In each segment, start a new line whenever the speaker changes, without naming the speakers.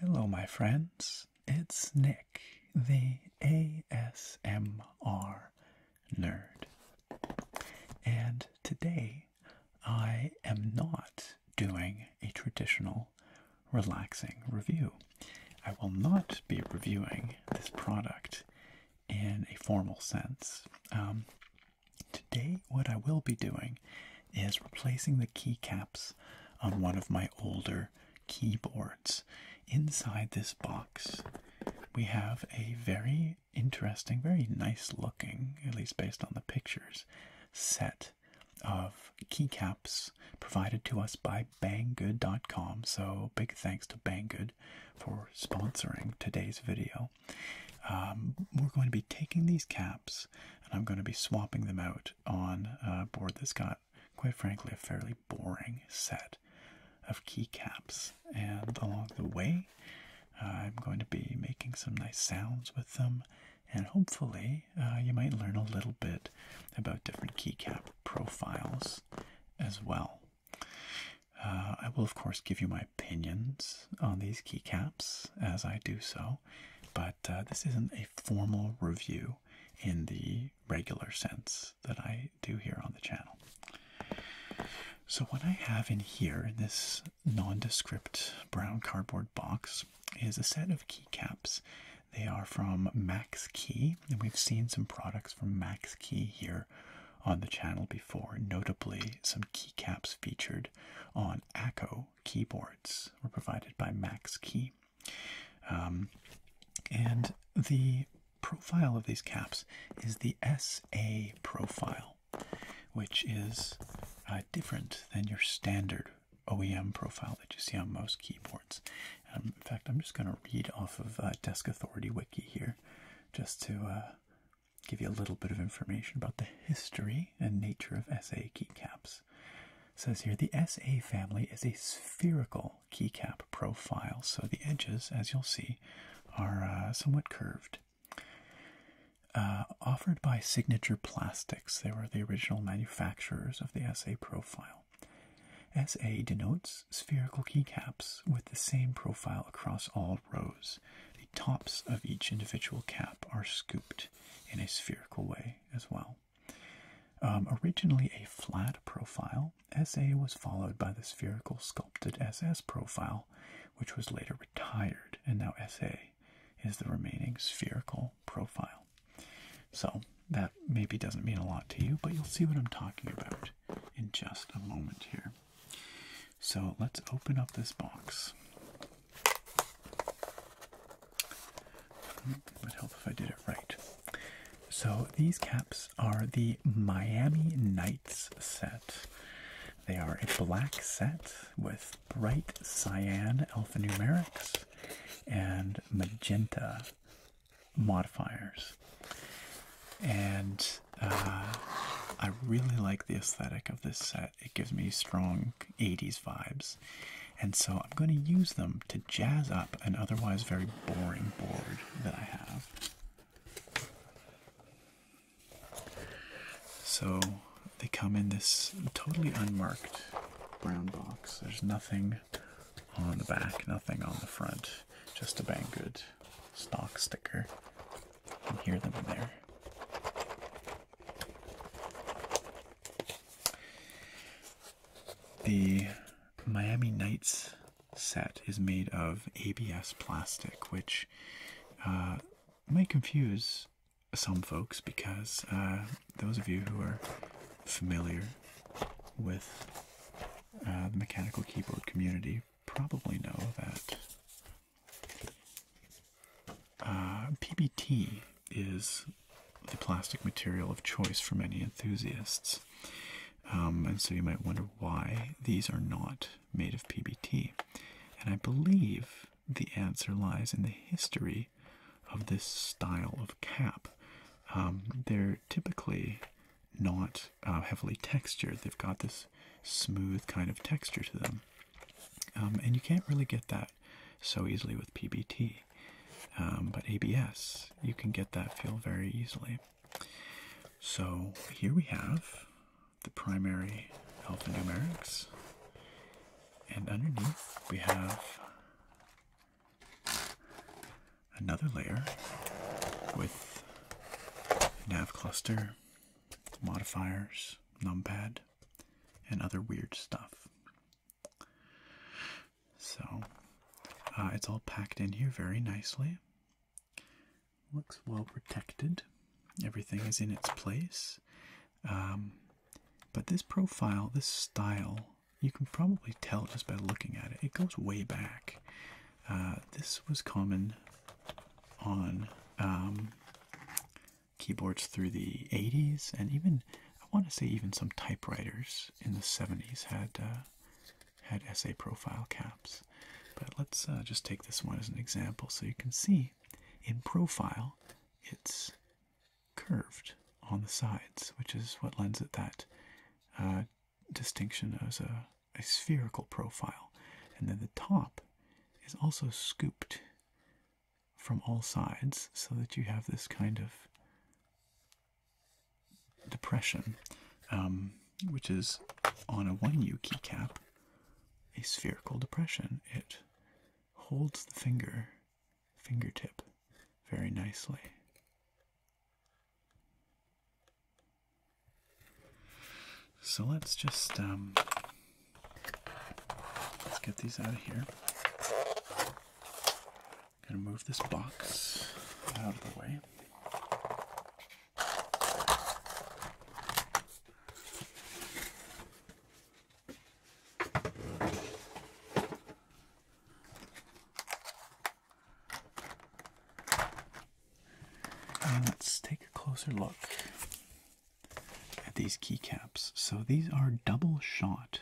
Hello, my friends. It's Nick, the ASMR nerd. And today I am not doing a traditional relaxing review. I will not be reviewing this product in a formal sense. Um, today, what I will be doing is replacing the keycaps on one of my older keyboards. Inside this box, we have a very interesting, very nice looking, at least based on the pictures, set of keycaps provided to us by banggood.com. So, big thanks to Banggood for sponsoring today's video. Um, we're going to be taking these caps and I'm going to be swapping them out on a board that's got, quite frankly, a fairly boring set of keycaps. And along the way, I'm going to be making some nice sounds with them and hopefully uh, you might learn a little bit about different keycap profiles as well. Uh, I will, of course, give you my opinions on these keycaps as I do so, but uh, this isn't a formal review in the regular sense that I do here on the channel. So, what I have in here in this nondescript brown cardboard box is a set of keycaps. They are from Max Key, and we've seen some products from Max Key here on the channel before, notably some keycaps featured on Aco keyboards were provided by Max Key. Um, and the profile of these caps is the SA profile, which is uh, different than your standard OEM profile that you see on most keyboards. Um, in fact, I'm just going to read off of uh, Desk Authority Wiki here just to uh, give you a little bit of information about the history and nature of SA keycaps. says here the SA family is a spherical keycap profile, so the edges, as you'll see, are uh, somewhat curved. offered by Signature Plastic. They were the original manufacturers of the SA profile. SA denotes spherical keycaps with the same profile across all rows. The tops of each individual cap are scooped in a spherical way as well. Um, originally a flat profile, SA was followed by the spherical sculpted SS profile, which was later retired, and now SA is the remaining spherical profile. So that maybe doesn't mean a lot to you, but you'll see what I'm talking about in just a moment here. So let's open up this box. Hmm, would help if I did it right. So these caps are the Miami Knights set. They are a black set with bright cyan alphanumerics and magenta modifiers. And uh, I really like the aesthetic of this set. It gives me strong 80s vibes. And so I'm going to use them to jazz up an otherwise very boring board that I have. So they come in this totally unmarked brown box. There's nothing on the back, nothing on the front, just a Banggood stock sticker. You can hear them in there. The Miami Knights set is made of ABS plastic, which uh, might confuse some folks because uh, those of you who are familiar with uh, the mechanical keyboard community probably know that uh, PBT is the plastic material of choice for many enthusiasts. Um, and so you might wonder why these are not made of PBT. And I believe the answer lies in the history of this style of cap. Um, they're typically not uh, heavily textured, they've got this smooth kind of texture to them. Um, and you can't really get that so easily with PBT. Um, but ABS, you can get that feel very easily. So here we have the primary alphanumerics, and underneath we have another layer with nav cluster, modifiers, numpad, and other weird stuff. So uh, it's all packed in here very nicely. Looks well protected. Everything is in its place. Um, but this profile, this style, you can probably tell just by looking at it. It goes way back. Uh, this was common on um, keyboards through the 80s, and even I want to say even some typewriters in the 70s had uh, had essay profile caps. But let's uh, just take this one as an example, so you can see in profile, it's curved on the sides, which is what lends it that uh, distinction as a, spherical profile. And then the top is also scooped from all sides so that you have this kind of depression, um, which is on a 1U keycap a spherical depression. It holds the finger fingertip very nicely. So let's just um, let's get these out of here. Gonna move this box out of the way let's take a closer look at these keycaps. So these are double shot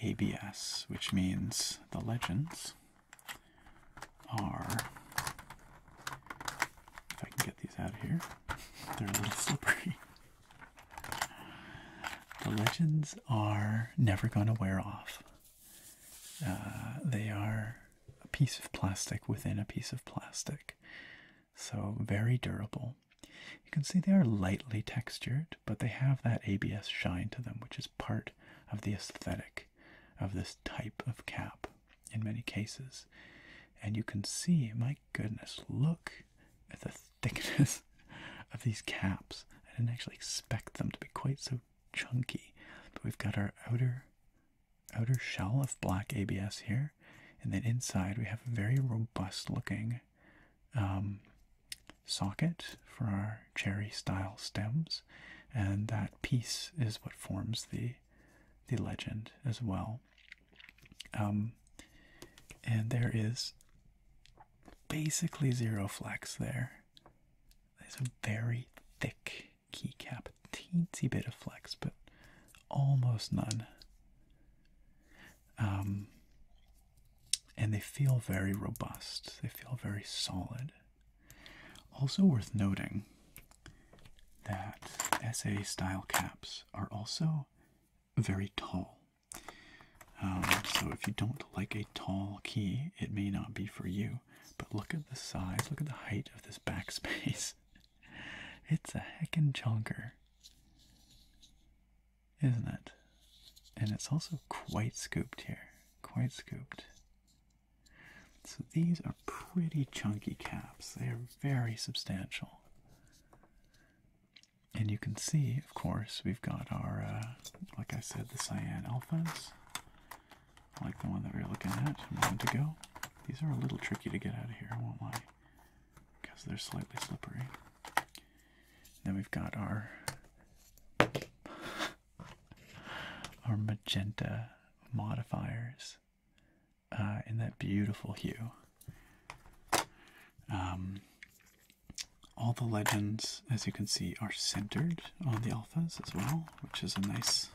ABS, which means the legends are. If I can get these out of here, they're a little slippery. The legends are never going to wear off. Uh, they are a piece of plastic within a piece of plastic, so very durable. You can see they are lightly textured, but they have that ABS shine to them, which is part of the aesthetic of this type of cap in many cases. And you can see, my goodness, look at the thickness of these caps. I didn't actually expect them to be quite so chunky. But we've got our outer outer shell of black ABS here, and then inside we have a very robust looking um, socket for our cherry style stems, and that piece is what forms the the legend as well. Um, and there is basically zero flex there. There's a very thick keycap, teensy bit of flex, but almost none. Um, and they feel very robust, they feel very solid. Also, worth noting that SA style caps are also very tall. Um, so if you don't like a tall key, it may not be for you. But look at the size, look at the height of this backspace. it's a heckin' chunker. Isn't it? And it's also quite scooped here. Quite scooped. So these are pretty chunky caps. They are very substantial. And you can see, of course, we've got our, uh, like I said, the cyan alphas, like the one that we are looking at a to go. These are a little tricky to get out of here, I won't lie, because they're slightly slippery. Then we've got our our magenta modifiers uh, in that beautiful hue. Um, all the legends, as you can see, are centered on the alphas as well, which is a nice,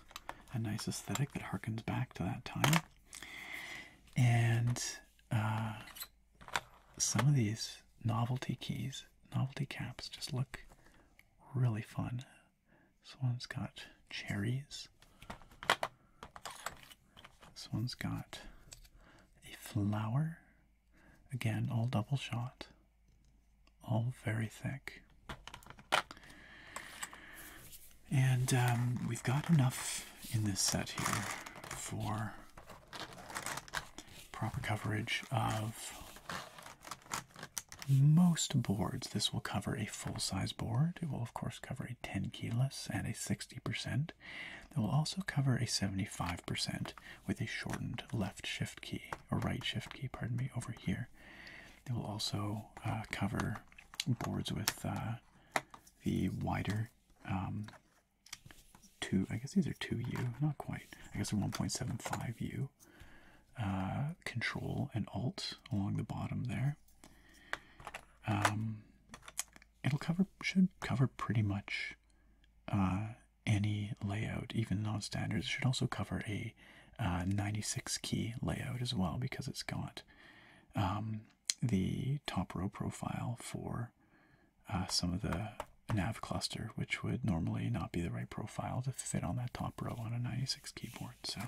a nice aesthetic that harkens back to that time. And uh, some of these novelty keys, novelty caps, just look really fun. This one's got cherries. This one's got a flower Again, all double shot, all very thick. And um, we've got enough in this set here for proper coverage of most boards. This will cover a full size board. It will, of course, cover a 10 kilos and a 60%. It will also cover a 75%, with a shortened left shift key or right shift key, pardon me, over here. it will also uh, cover boards with uh, the wider um, two. I guess these are two U, not quite. I guess they're 1.75 U. Uh, control and Alt along the bottom there. Um, it'll cover should cover pretty much any layout, even non-standards. should also cover a uh, 96 key layout as well because it's got um, the top row profile for uh, some of the nav cluster, which would normally not be the right profile to fit on that top row on a 96 keyboard. So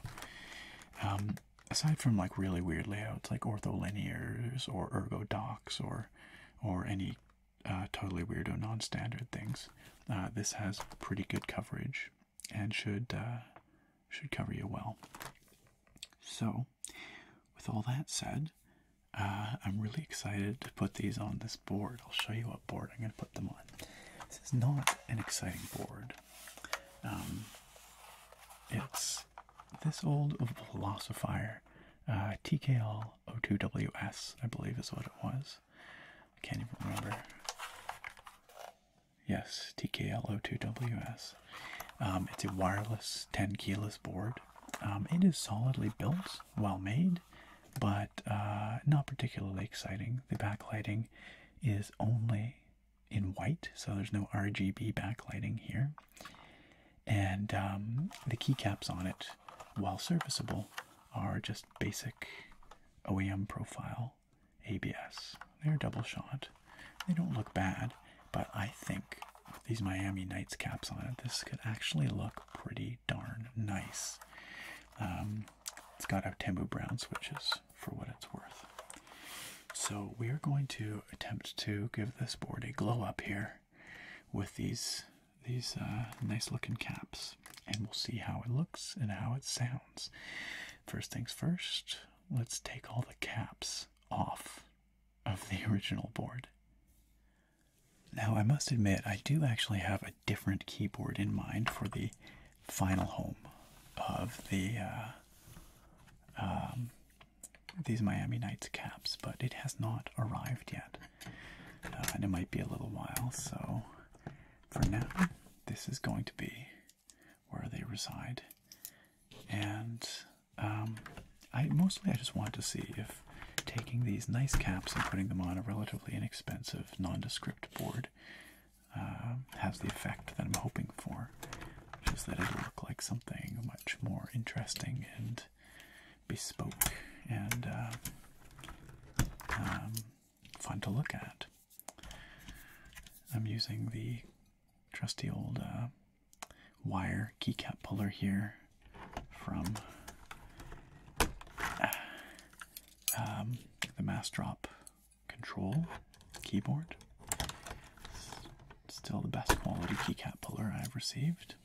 um, aside from like really weird layouts like ortholinears or ergo docs or or any uh, totally weirdo, non standard things, uh, this has pretty good coverage and should, uh, should cover you well. So, with all that said, I'm really excited to put these on this board. I'll show you what board I'm going to put them on. This is not an exciting board. Um, it's this old Velocifier TKL 02WS, I believe is what it was. I can't even remember. Yes, tklo 2 ws um, it's a wireless 10 keyless board. Um, it is solidly built, well made, but uh, not particularly exciting. The backlighting is only in white, so there's no RGB backlighting here and um, the keycaps on it, while serviceable, are just basic OEM profile ABS. They're double shot. They don't look bad, but I think with these Miami Knights caps on it, this could actually look pretty darn nice. Um, it's got out Tembu Brown switches for what it's worth. So we are going to attempt to give this board a glow up here with these these uh, nice looking caps, and we'll see how it looks and how it sounds. First things first, let's take all the caps off of the original board. Now, I must admit, I do actually have a different keyboard in mind for the final home of the uh, um, these Miami Knights caps, but it has not arrived yet. Uh, and it might be a little while. So, for now, this is going to be where they reside, and um, I mostly I just want to see if taking these nice caps and putting them on a relatively inexpensive nondescript board um, has the effect that I'm hoping for, which is that it'll look like something much more interesting and bespoke and uh, um, fun to look at. I'm using the trusty old uh, wire keycap puller here from uh, um, the mass drop control keyboard. still the best quality keycap puller I've received.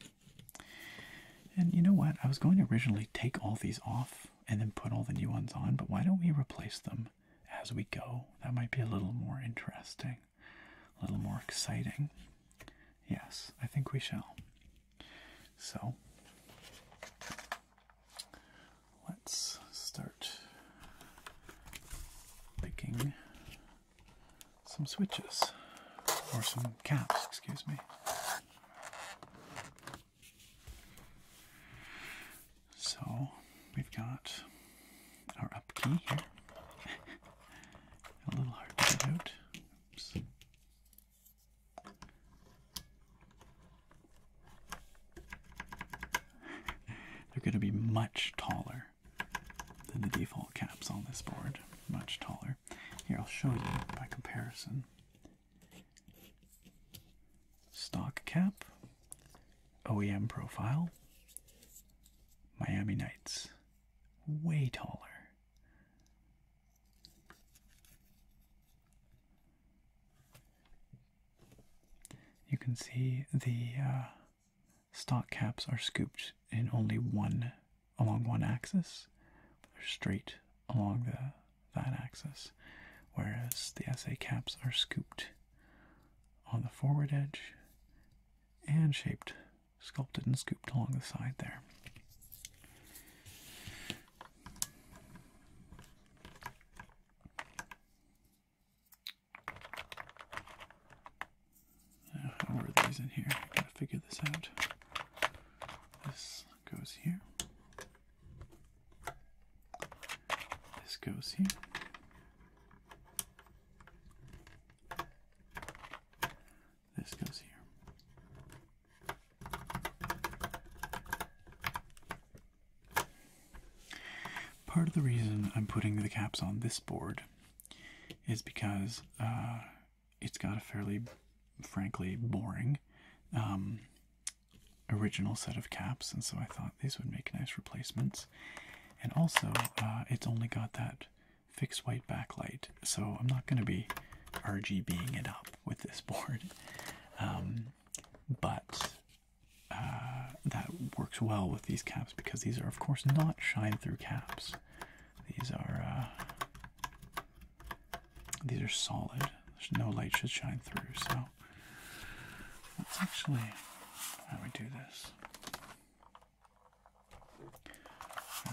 And you know what? I was going to originally take all these off and then put all the new ones on, but why don't we replace them as we go? That might be a little more interesting, a little more exciting. Yes, I think we shall. So let's start making some switches or some caps, excuse me. So we've got our up key here. A little hard to get out. Oops. They're going to be much taller than the default caps on this board. Much taller. Here, I'll show you by comparison. Stock cap, OEM profile, Miami Knights. Way taller. You can see the uh, stock caps are scooped in only one along one axis, they're straight along the that axis, whereas the SA caps are scooped on the forward edge and shaped, sculpted and scooped along the side there. How are these in here? gotta figure this out. This goes here. This goes here. This goes here. Part of the reason I'm putting the caps on this board is because uh, it's got a fairly, frankly, boring um, original set of caps, and so I thought these would make nice replacements. And also, uh, it's only got that fixed white backlight, so I'm not going to be RGBing it up with this board. Um, but uh, that works well with these caps because these are, of course, not shine through caps. These are uh, these are solid. There's no light should shine through. So let's actually how we do this.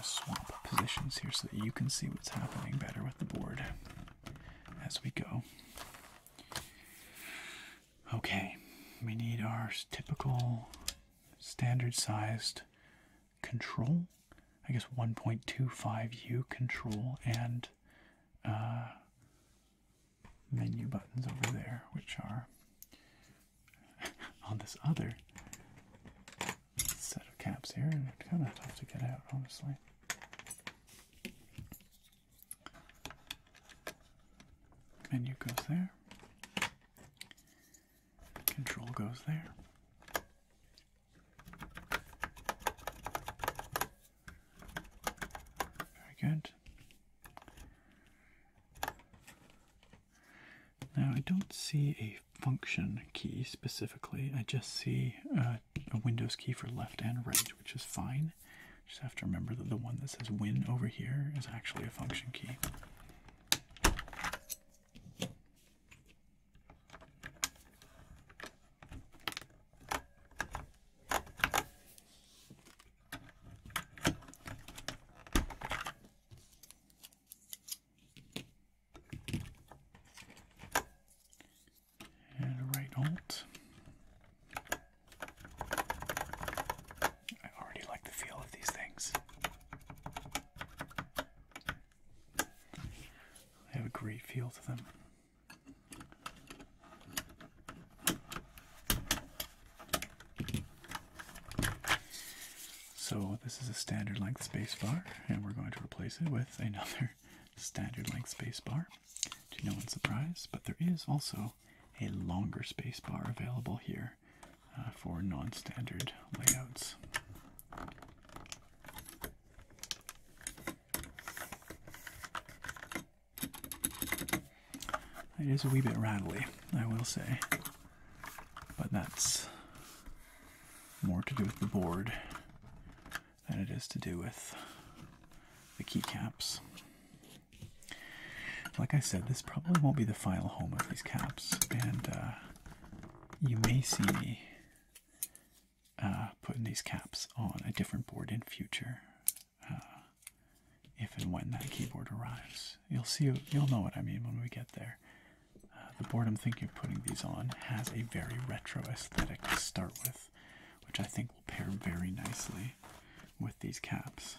swap positions here so that you can see what's happening better with the board as we go. Okay, we need our typical standard sized control, I guess 1.25U control and uh, menu buttons over there, which are on this other set of caps here, and it's kind of tough to get out, honestly. Menu goes there. Control goes there. Very good. Now, I don't see a function key specifically, I just see a Windows key for left and right, which is fine. Just have to remember that the one that says Win over here is actually a function key. And right alt. I already like the feel of these things. They have a great feel to them. So this is a standard length spacebar, and we're going to replace it with another standard length spacebar. To no one's surprise, but there is also a longer spacebar available here uh, for non-standard layouts. It is a wee bit rattly, I will say, but that's more to do with the board than it is to do with the keycaps. Like I said, this probably won't be the final home of these caps, and uh, you may see me uh, putting these caps on a different board in future. Uh, if and when that keyboard arrives, you'll see. You'll know what I mean when we get there. Uh, the board I'm thinking of putting these on has a very retro aesthetic to start with, which I think will pair very nicely with these caps.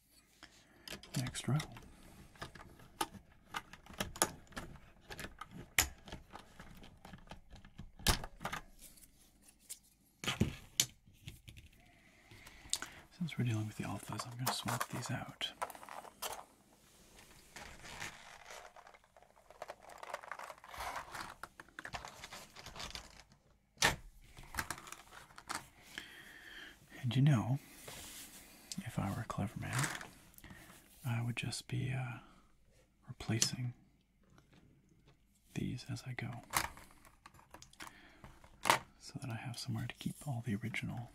Next row. Since we're dealing with the alphas, I'm going to swap these out. And you know, if I were a clever man, I would just be uh, replacing these as I go so that I have somewhere to keep all the original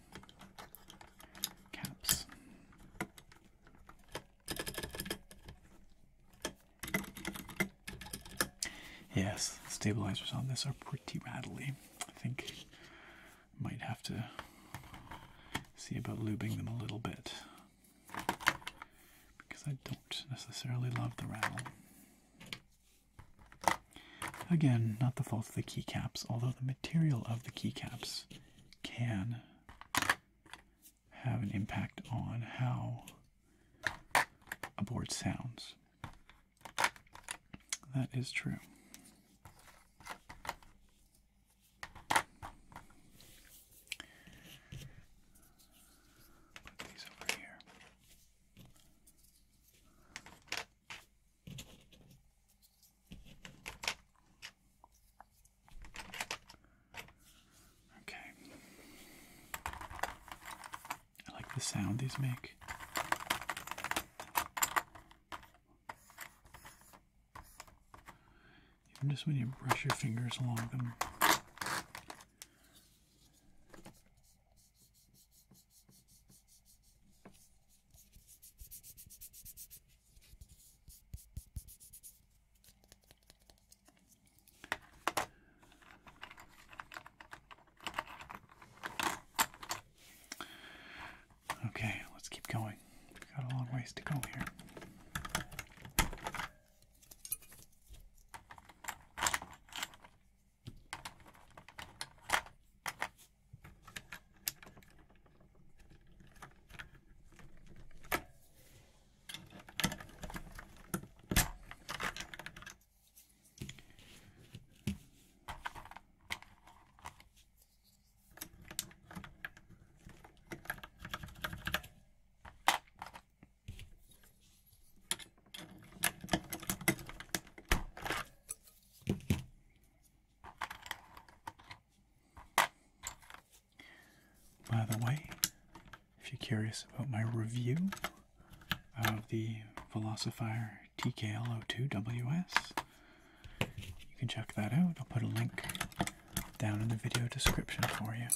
caps. Yes, stabilizers on this are pretty rattly. I think might have to see about lubing them a little bit because I don't necessarily love the rattle. Again, not the fault of the keycaps, although the material of the keycaps can have an impact on how a board sounds. That is true. Put these over here. Okay. I like the sound these make. Even just when you brush your fingers along them. Okay, let's keep going. We've got a long ways to go here. By the way, if you're curious about my review of the Velocifier tk 2 ws You can check that out. I'll put a link down in the video description for you.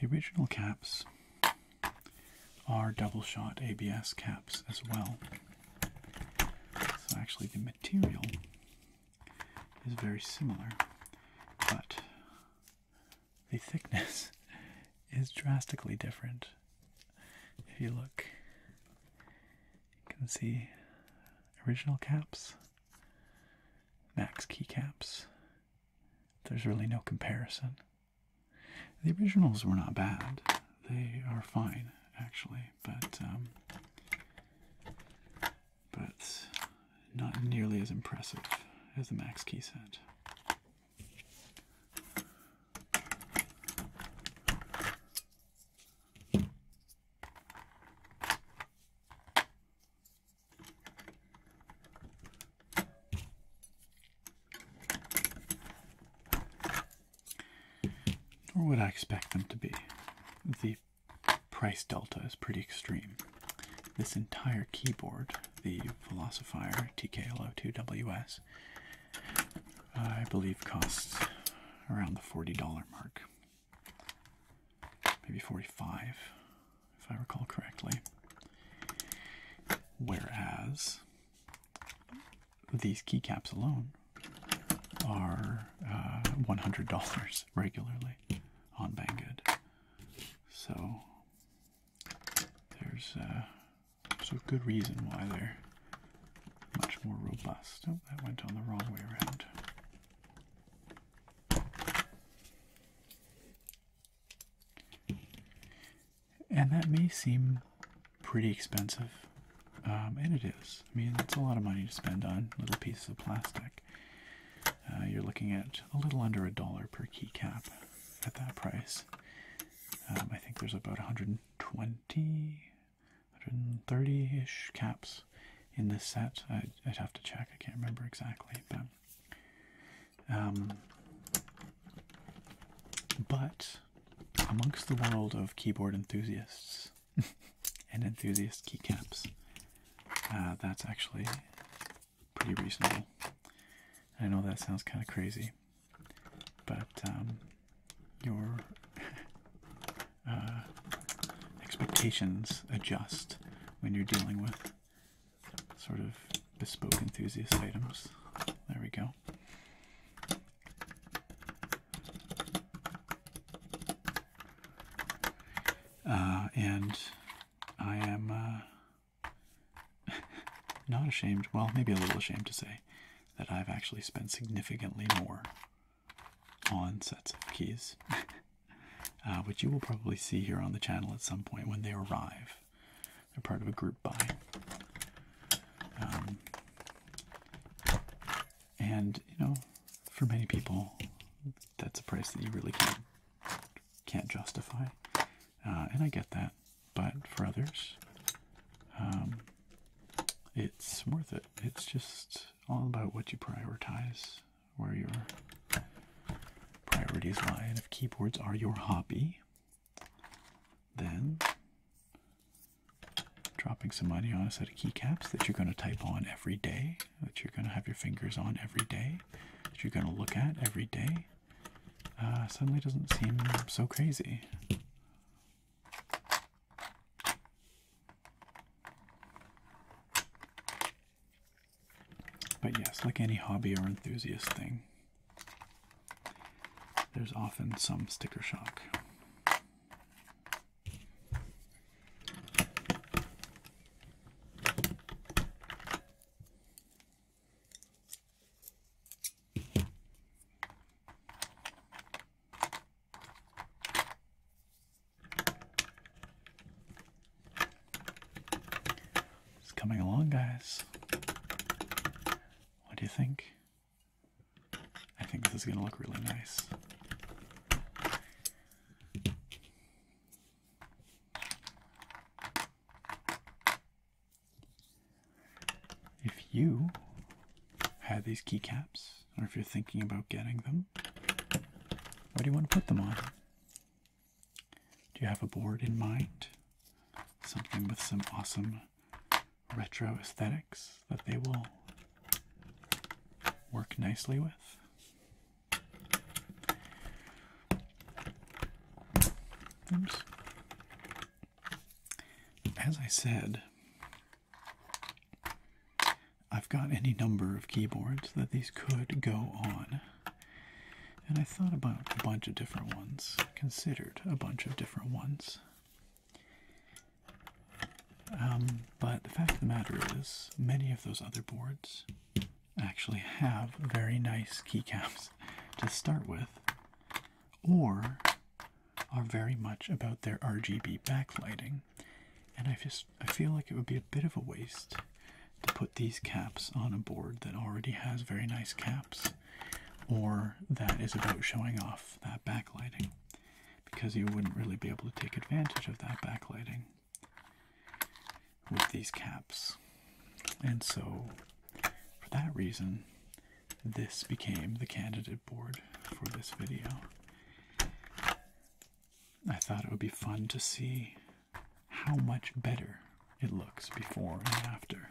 The original caps are double shot ABS caps as well. So, actually, the material is very similar, but the thickness is drastically different. If you look, you can see original caps, max keycaps. There's really no comparison. The originals were not bad, they are fine actually, but um, but not nearly as impressive as the Max key set. Or would I expect them to be? The price delta is pretty extreme. This entire keyboard the Philosopher TKLO2WS. I believe costs around the $40 mark. Maybe 45 if I recall correctly. Whereas these keycaps alone are uh, $100 regularly on Banggood. So there's, uh, a good reason why they're much more robust. Oh, that went on the wrong way around. And that may seem pretty expensive, um, and it is. I mean, it's a lot of money to spend on little pieces of plastic. Uh, you're looking at a little under a dollar per keycap at that price. Um, I think there's about 120, 130 ish caps in this set. I'd, have to check, I can't remember exactly. But, um, but amongst the world of keyboard enthusiasts and enthusiast keycaps, uh, that's actually pretty reasonable. I know that sounds kind of crazy, but um, your uh, expectations adjust when you're dealing with sort of bespoke enthusiast items. There we go. Uh, and I am uh, Not ashamed, well, maybe a little ashamed to say that I've actually spent significantly more on sets of keys, uh, which you will probably see here on the channel at some point when they arrive. They're part of a group buy. Um, and, you know, for many people, that's a price that you really can't, justify. Uh, and I get that but for others, um, it's worth it. It's just all about what you prioritize, where your priorities lie, and if keyboards are your hobby, then dropping some money on a set of keycaps that you're going to type on every day, that you're going to have your fingers on every day, that you're going to look at every day, uh, suddenly doesn't seem so crazy. But yes, like any hobby or enthusiast thing, there's often some sticker shock. It's coming along, guys. What do you think? I think this is going to look really nice. If you have these keycaps, or if you're thinking about getting them, what do you want to put them on? Do you have a board in mind? Something with some awesome retro aesthetics that they will work nicely with? Oops as I said, I've got any number of keyboards that these could go on. And I thought about a bunch of different ones, considered a bunch of different ones. Um, but the fact of the matter is, many of those other boards actually have very nice keycaps to start with or are very much about their RGB backlighting. And I just I feel like it would be a bit of a waste to put these caps on a board that already has very nice caps or that is about showing off that backlighting because you wouldn't really be able to take advantage of that backlighting with these caps. And so, for that reason, this became the candidate board for this video. I thought it would be fun to see how much better it looks before and after.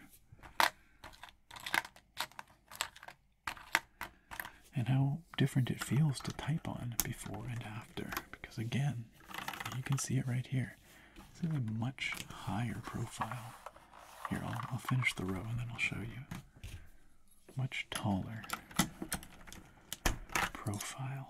And how different it feels to type on before and after. Because again, you can see it right here. This is a much higher profile. Here, I'll, finish the row and then I'll show you. Much taller profile.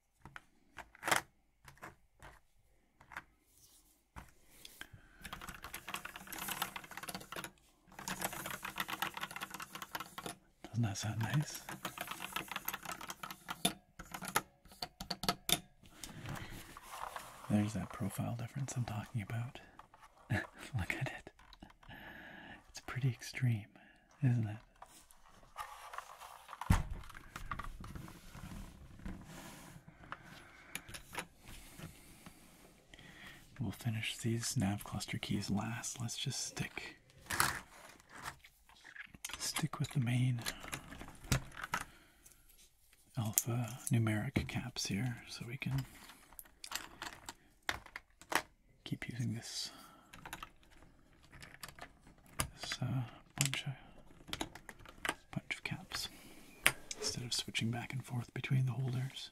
Doesn't that sound nice? There's that profile difference I'm talking about. Look at it. It's pretty extreme, isn't it? We'll finish these nav cluster keys last. Let's just stick stick with the main alpha numeric caps here so we can keep using this this uh, bunch, of, bunch of caps instead of switching back and forth between the holders.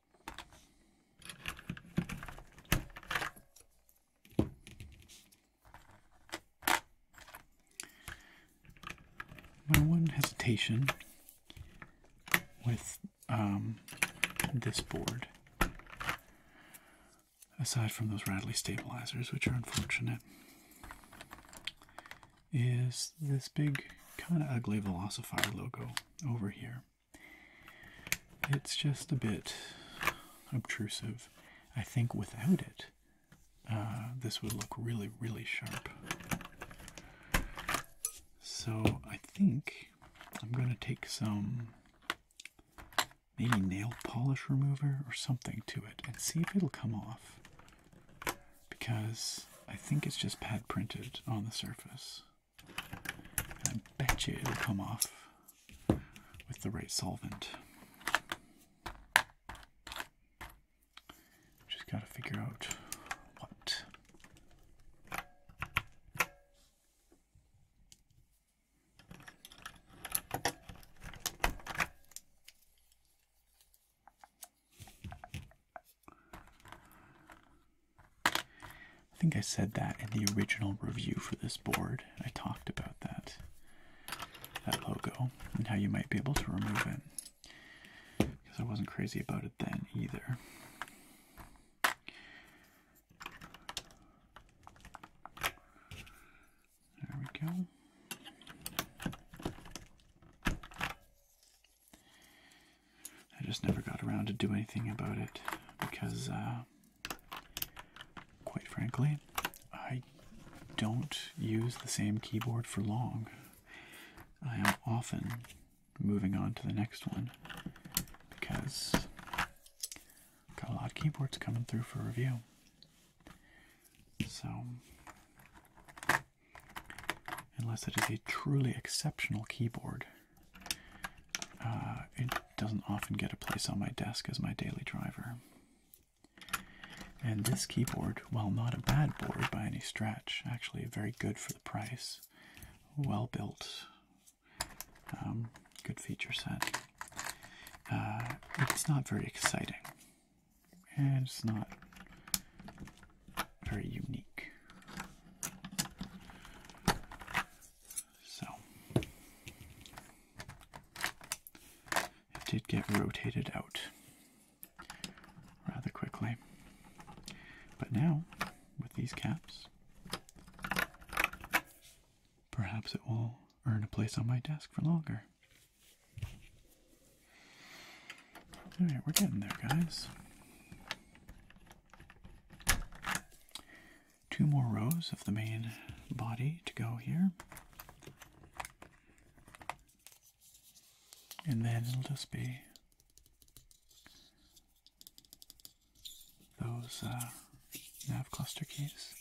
My one hesitation with um, this board, aside from those rattly stabilizers, which are unfortunate, is this big, kind of ugly Velocifier logo over here. It's just a bit obtrusive. I think without it, uh, this would look really, really sharp. So I think I'm going to take some maybe nail polish remover or something to it and see if it'll come off. Because I think it's just pad printed on the surface. I bet you it'll come off with the right solvent. Just gotta figure out what. I think I said that in the original review for this board. I talked about that that logo and how you might be able to remove it. Because I wasn't crazy about it then either. There we go. I just never got around to do anything about it because, uh, quite frankly, I don't use the same keyboard for long. I am often moving on to the next one because I've got a lot of keyboards coming through for review. So, unless it is a truly exceptional keyboard, uh, it doesn't often get a place on my desk as my daily driver. And this keyboard, while not a bad board by any stretch, actually very good for the price. Well built, um, good feature set. Uh, it's not very exciting, and it's not very unique. So it did get rotated out rather quickly. But now, with these caps, perhaps it will earn a place on my desk for longer. Alright, we're getting there, guys two more rows of the main body to go here. And then it'll just be those uh, nav cluster keys.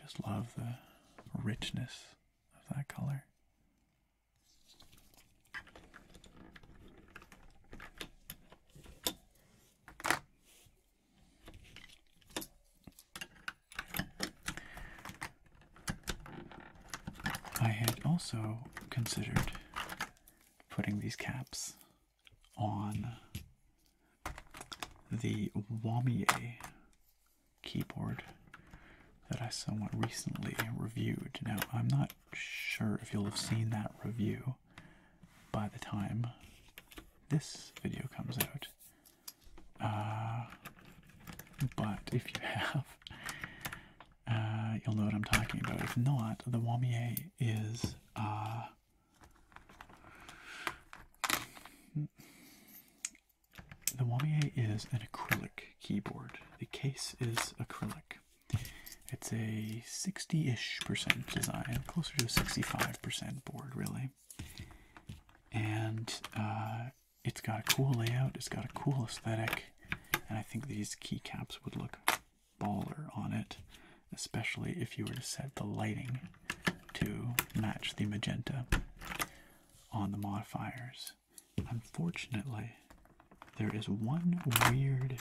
Just love the richness of that color. I had also considered putting these caps on the Wamier keyboard that I somewhat recently reviewed. Now, I'm not sure if you'll have seen that review by the time this video comes out. Uh, but if you have, uh, you'll know what I'm talking about. If not, the Wamier is. Uh, the Wamier is an acrylic keyboard. The case is acrylic. It's a 60 ish percent design, closer to a 65% board, really. And uh, it's got a cool layout, it's got a cool aesthetic, and I think these keycaps would look baller on it, especially if you were to set the lighting to match the magenta on the modifiers. Unfortunately, there is one weird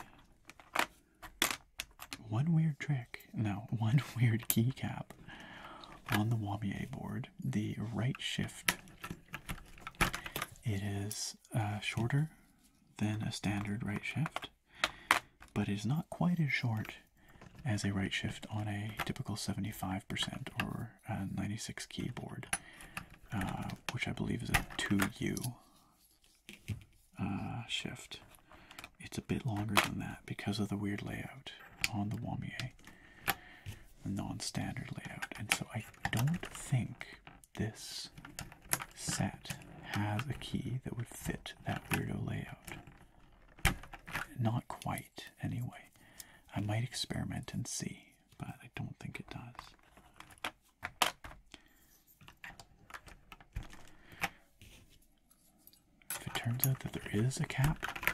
one weird trick no one weird keycap on the Wamier board the right shift it is uh, shorter than a standard right shift but is not quite as short as a right shift on a typical 75% or 96 keyboard uh, which I believe is a 2U uh, shift. It's a bit longer than that because of the weird layout on the Wamier, the non-standard layout. And so I don't think this set has a key that would fit that weirdo layout. Not quite, anyway. I might experiment and see, but I don't think it does. If it turns out that there is a cap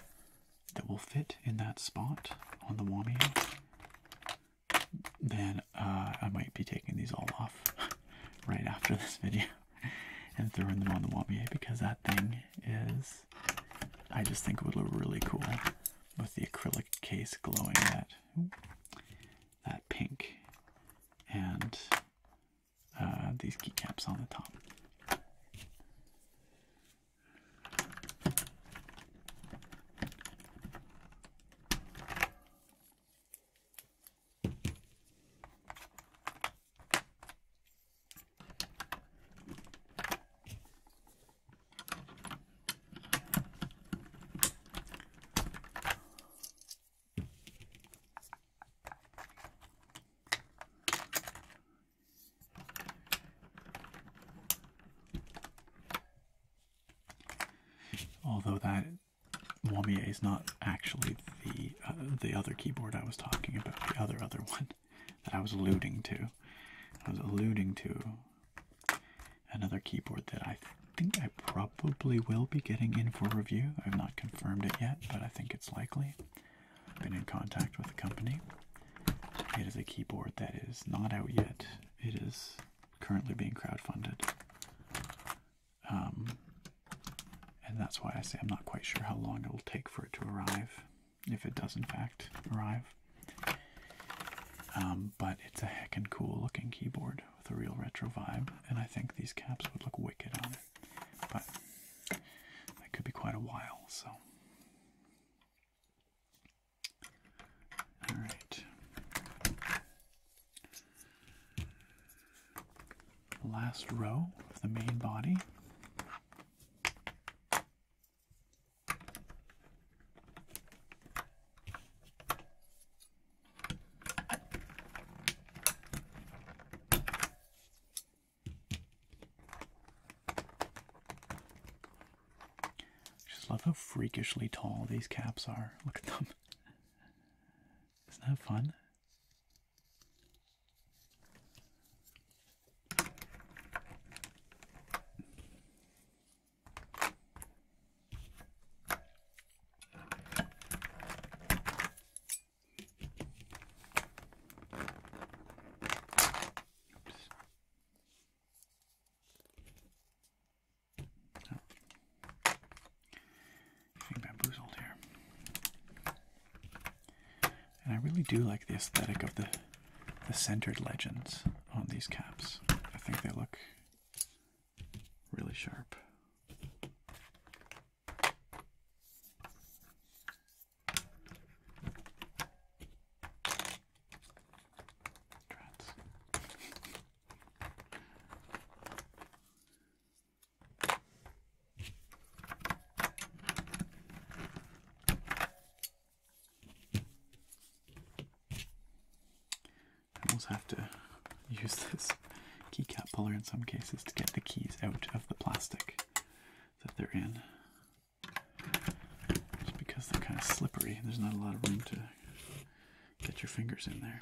that will fit in that spot on the Wami, then uh, I might be taking these all off right after this video and throwing them on the Wami because that thing is, I just think it would look really cool with the acrylic case glowing that that pink and uh, these keycaps on the top. Although that Wamiya is not actually the uh, the other keyboard I was talking about, the other other one that I was alluding to. I was alluding to another keyboard that I think I probably will be getting in for review. I've not confirmed it yet, but I think it's likely. I've been in contact with the company. It is a keyboard that is not out yet. It is currently being crowdfunded. Um, and that's why I say I'm not quite sure how long it will take for it to arrive, if it does in fact arrive. Um, but it's a heckin' cool looking keyboard with a real retro vibe, and I think these caps would look wicked on it. But that could be quite a while, so. Alright. Last row of the main body. Just love how freakishly tall these caps are. Look at them. Isn't that fun? Oh. Getting bamboozled here. And I really do like the aesthetic of the the centered legends on these caps. I think they look really sharp almost have to use this keycap puller in some cases to get the keys out of the plastic that they're in. Just because they're kind of slippery, there's not a lot of room to get your fingers in there.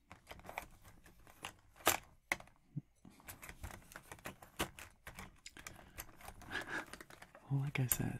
well, like I said, there.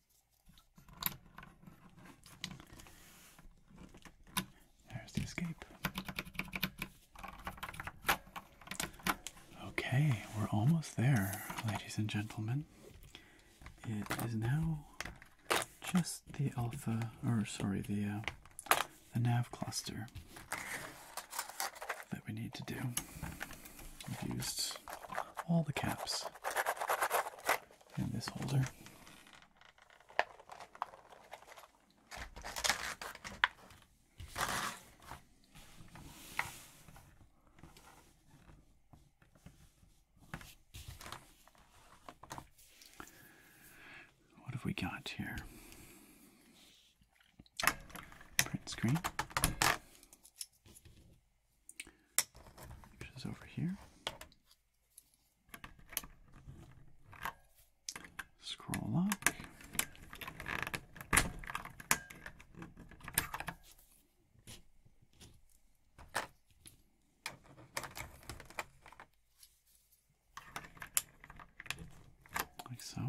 There's the escape. Okay, we're almost there, ladies and gentlemen. It is now just the alpha, or sorry, the uh, the nav cluster that we need to do. We've used all the caps and this holder. What have we got here? Print screen. Which is over here. Scroll up, Like so.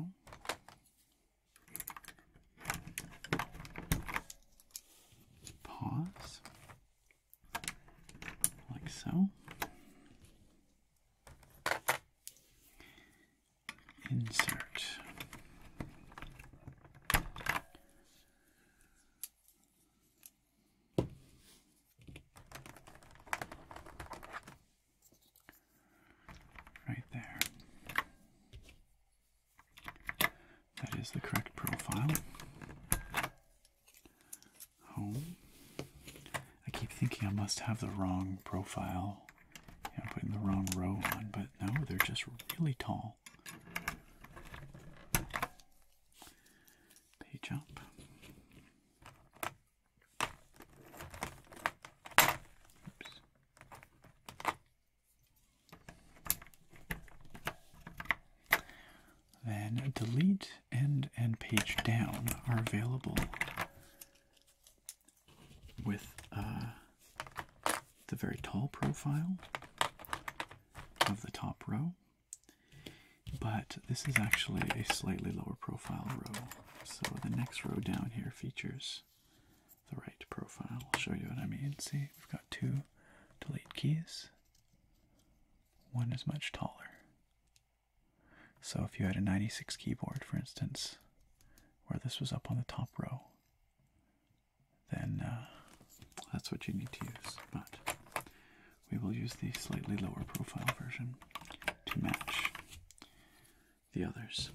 Pause like so. Insert. Right there. That is the correct profile home. I keep thinking I must have the wrong profile. I'm putting the wrong row on, but no, they're just really tall. Page up then delete and and page down are available with uh, the very tall profile of the top row. But this is actually a slightly lower profile row. So the next row down here features the right profile. I'll show you what I mean. See, we've got two delete keys one is much taller. So if you had a 96 keyboard, for instance, where this was up on the top row, then uh, that's what you need to use. But we will use the slightly lower profile version to match the others.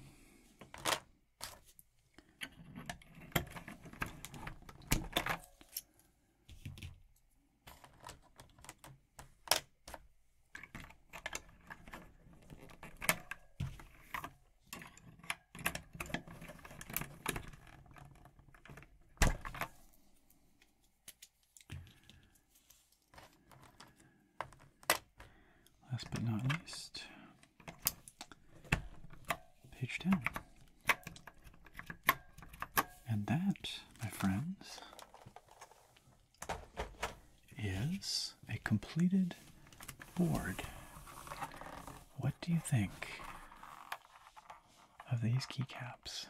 Last but not least, page 10. And that, my friends, is a completed board. What do you think of these keycaps?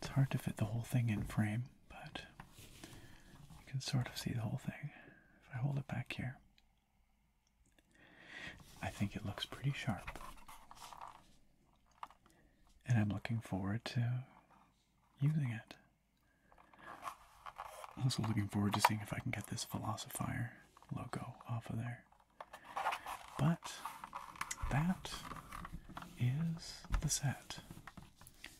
It's hard to fit the whole thing in frame but you can sort of see the whole thing if I hold it back here. I think it looks pretty sharp. And I'm looking forward to using it. I'm also looking forward to seeing if I can get this Philosophier logo off of there. But that is the set.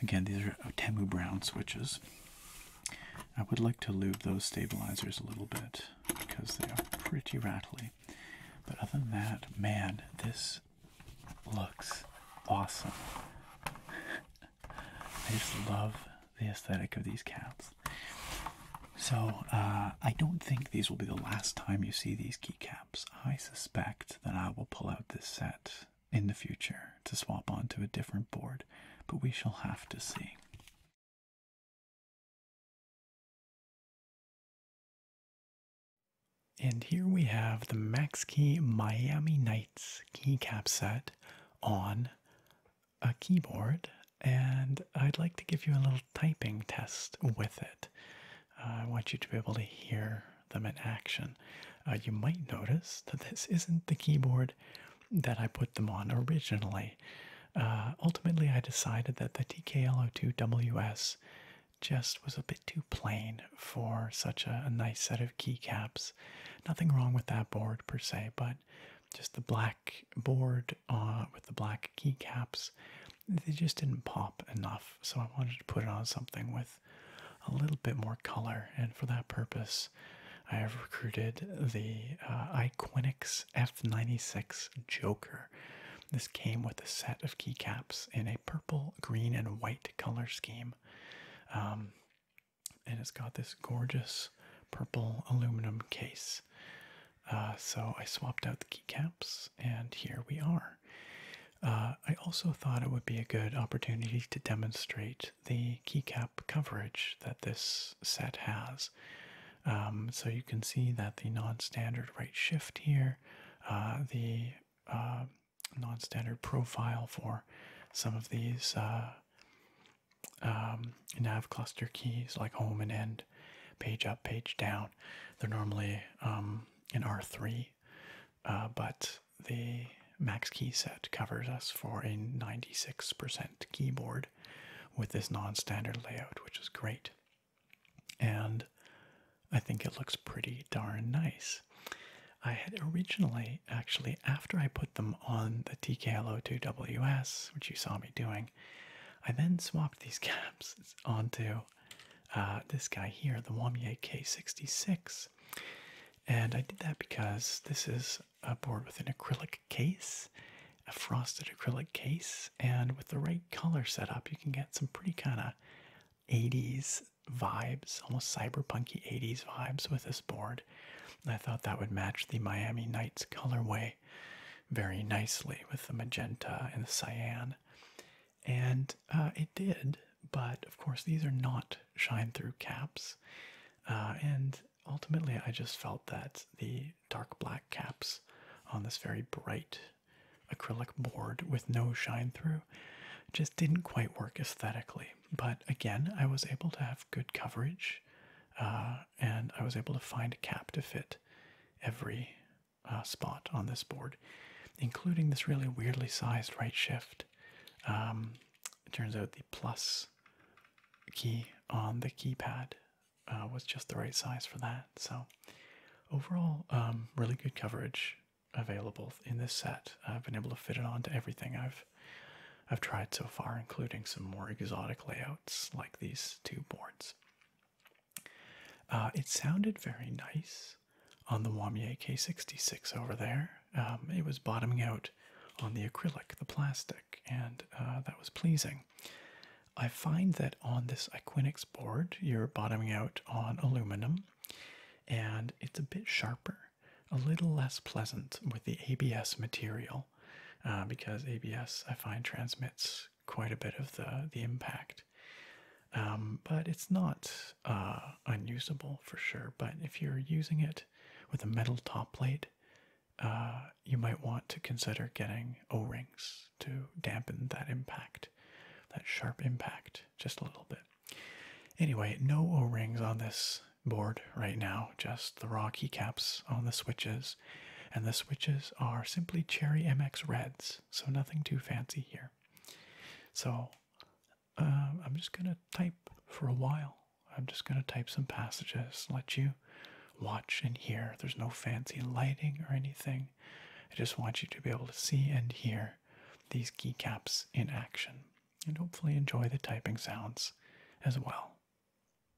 Again, these are Temu Brown switches. I would like to lube those stabilizers a little bit because they are pretty rattly. But other than that, man, this looks awesome. I just love the aesthetic of these caps. So uh, I don't think these will be the last time you see these keycaps. I suspect that I will pull out this set in the future to swap onto a different board, but we shall have to see. And here we have the MaxKey Miami Knights keycap set on a keyboard, and I'd like to give you a little typing test with it. Uh, I want you to be able to hear them in action. Uh, you might notice that this isn't the keyboard that I put them on originally. Uh, ultimately, I decided that the TKL02WS just was a bit too plain for such a nice set of keycaps. Nothing wrong with that board per se, but just the black board uh, with the black keycaps, they just didn't pop enough. So I wanted to put it on something with a little bit more color, and for that purpose, I have recruited the uh, F96 Joker. This came with a set of keycaps in a purple, green, and white color scheme. Um, and it's got this gorgeous purple aluminum case. Uh, so I swapped out the keycaps, and here we are. Uh, I also thought it would be a good opportunity to demonstrate the keycap coverage that this set has. Um, so you can see that the non-standard right shift here, uh, the non-standard profile for some of these um, nav cluster keys like home and end, page up, page down. They're normally um, in R3, uh, but the max key set covers us for a 96% keyboard with this non standard layout, which is great. And I think it looks pretty darn nice. I had originally, actually, after I put them on the TKLO2WS, which you saw me doing, I then swapped these caps onto uh, this guy here, the Wamier K66. And I did that because this is a board with an acrylic case, a frosted acrylic case, and with the right color setup, you can get some pretty kind of 80s vibes, almost cyberpunky 80s vibes with this board. I thought that would match the Miami Knights colorway very nicely with the magenta and the cyan. And uh, it did, but of course, these are not shine through caps. Uh, and ultimately, I just felt that the dark black caps on this very bright acrylic board with no shine through just didn't quite work aesthetically. But again, I was able to have good coverage uh, and I was able to find a cap to fit every uh, spot on this board, including this really weirdly sized right shift. Um, it turns out the plus key on the keypad uh, was just the right size for that. So, overall, um, really good coverage available in this set. I've been able to fit it onto everything I've I've tried so far, including some more exotic layouts like these two boards. Uh, it sounded very nice on the Wamier K66 over there. Um, it was bottoming out on the acrylic, the plastic, and uh, that was pleasing. I find that on this Iquinix board, you're bottoming out on aluminum, and it's a bit sharper, a little less pleasant with the ABS material. Uh, because ABS I find transmits quite a bit of the the impact. Um, but it's not uh, unusable for sure. But if you're using it with a metal top plate, uh, you might want to consider getting O-rings to dampen that impact, that sharp impact, just a little bit. Anyway, no O-rings on this board right now, just the raw keycaps on the switches and the switches are simply Cherry MX Reds, so nothing too fancy here. So um, I'm just going to type for a while. I'm just going to type some passages, let you watch and hear. There's no fancy lighting or anything. I just want you to be able to see and hear these keycaps in action and hopefully enjoy the typing sounds as well.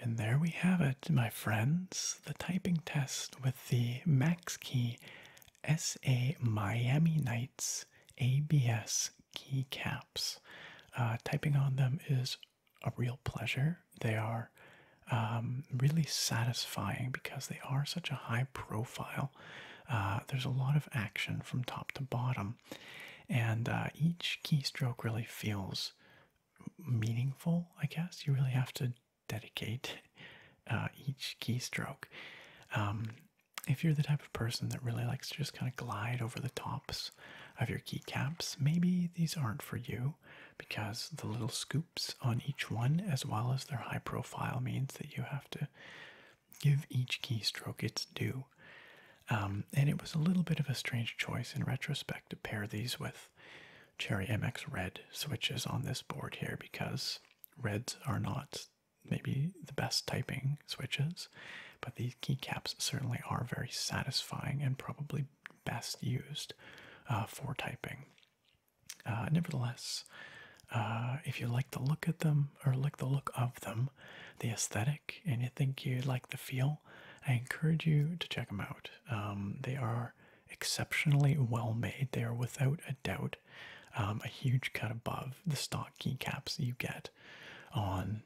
And there we have it, my friends, the typing test with the Max Key SA Miami Knights ABS keycaps. Uh, typing on them is a real pleasure. They are um, really satisfying because they are such a high profile. Uh, there's a lot of action from top to bottom, and uh, each keystroke really feels meaningful, I guess. You really have to dedicate uh, each keystroke. Um, if you're the type of person that really likes to just kind of glide over the tops of your keycaps, maybe these aren't for you because the little scoops on each one, as well as their high profile, means that you have to give each keystroke its due. Um, and it was a little bit of a strange choice in retrospect to pair these with Cherry MX Red switches on this board here because reds are not maybe the best typing switches, but these keycaps certainly are very satisfying and probably best used uh, for typing. Uh, nevertheless, uh, if you like the look at them or like the look of them, the aesthetic, and you think you like the feel, I encourage you to check them out. Um, they are exceptionally well made. They are without a doubt um, a huge cut above the stock keycaps you get on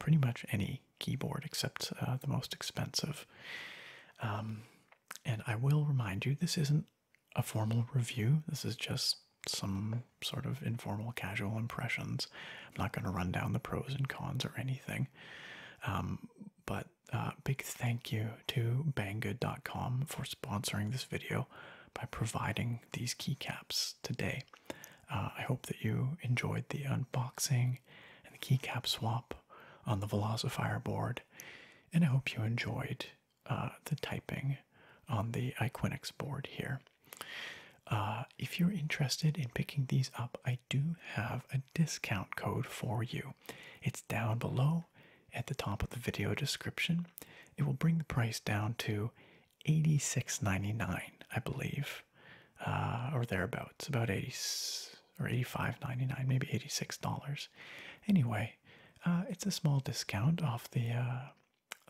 pretty much any keyboard except uh, the most expensive. Um, and I will remind you, this isn't a formal review. This is just some sort of informal, casual impressions. I'm not going to run down the pros and cons or anything. Um, but uh, big thank you to banggood.com for sponsoring this video by providing these keycaps today. Uh, I hope that you enjoyed the unboxing and the keycap swap on the Velocifier board, and I hope you enjoyed uh, the typing on the Iquinix board here. Uh, if you're interested in picking these up, I do have a discount code for you. It's down below at the top of the video description. It will bring the price down to $86.99, I believe, uh, or thereabouts, about 80 or $85.99, maybe $86. Anyway, uh, it's a small discount off the uh,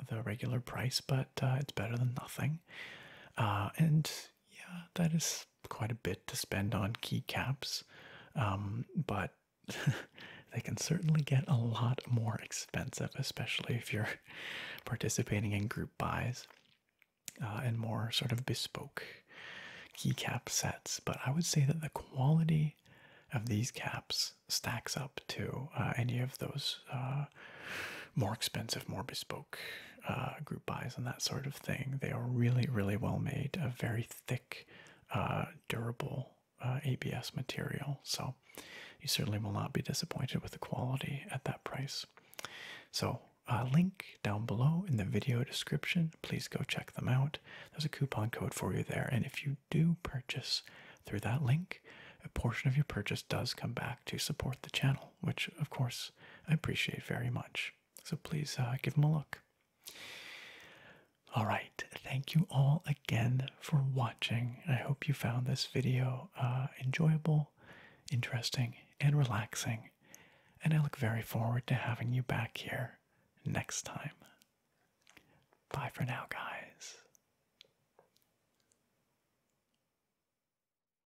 the regular price, but it's better than nothing. and yeah, that is quite a bit to spend on keycaps, um, but they can certainly get a lot more expensive, especially if you're participating in group buys uh, and more sort of bespoke keycap sets. But I would say that the quality of these caps stacks up to uh, any of those uh, more expensive, more bespoke uh, group buys and that sort of thing. They are really, really well made, a very thick, uh, durable uh, ABS material. So you certainly will not be disappointed with the quality at that price. So, uh, link down below in the video description. Please go check them out. There's a coupon code for you there. And if you do purchase through that link, a portion of your purchase does come back to support the channel, which, of course, I appreciate very much. So please uh, give them a look. All right, thank you all again for watching. I hope you found this video uh, enjoyable, interesting, and relaxing. And I look very forward to having you back here next time. Bye for now, guys.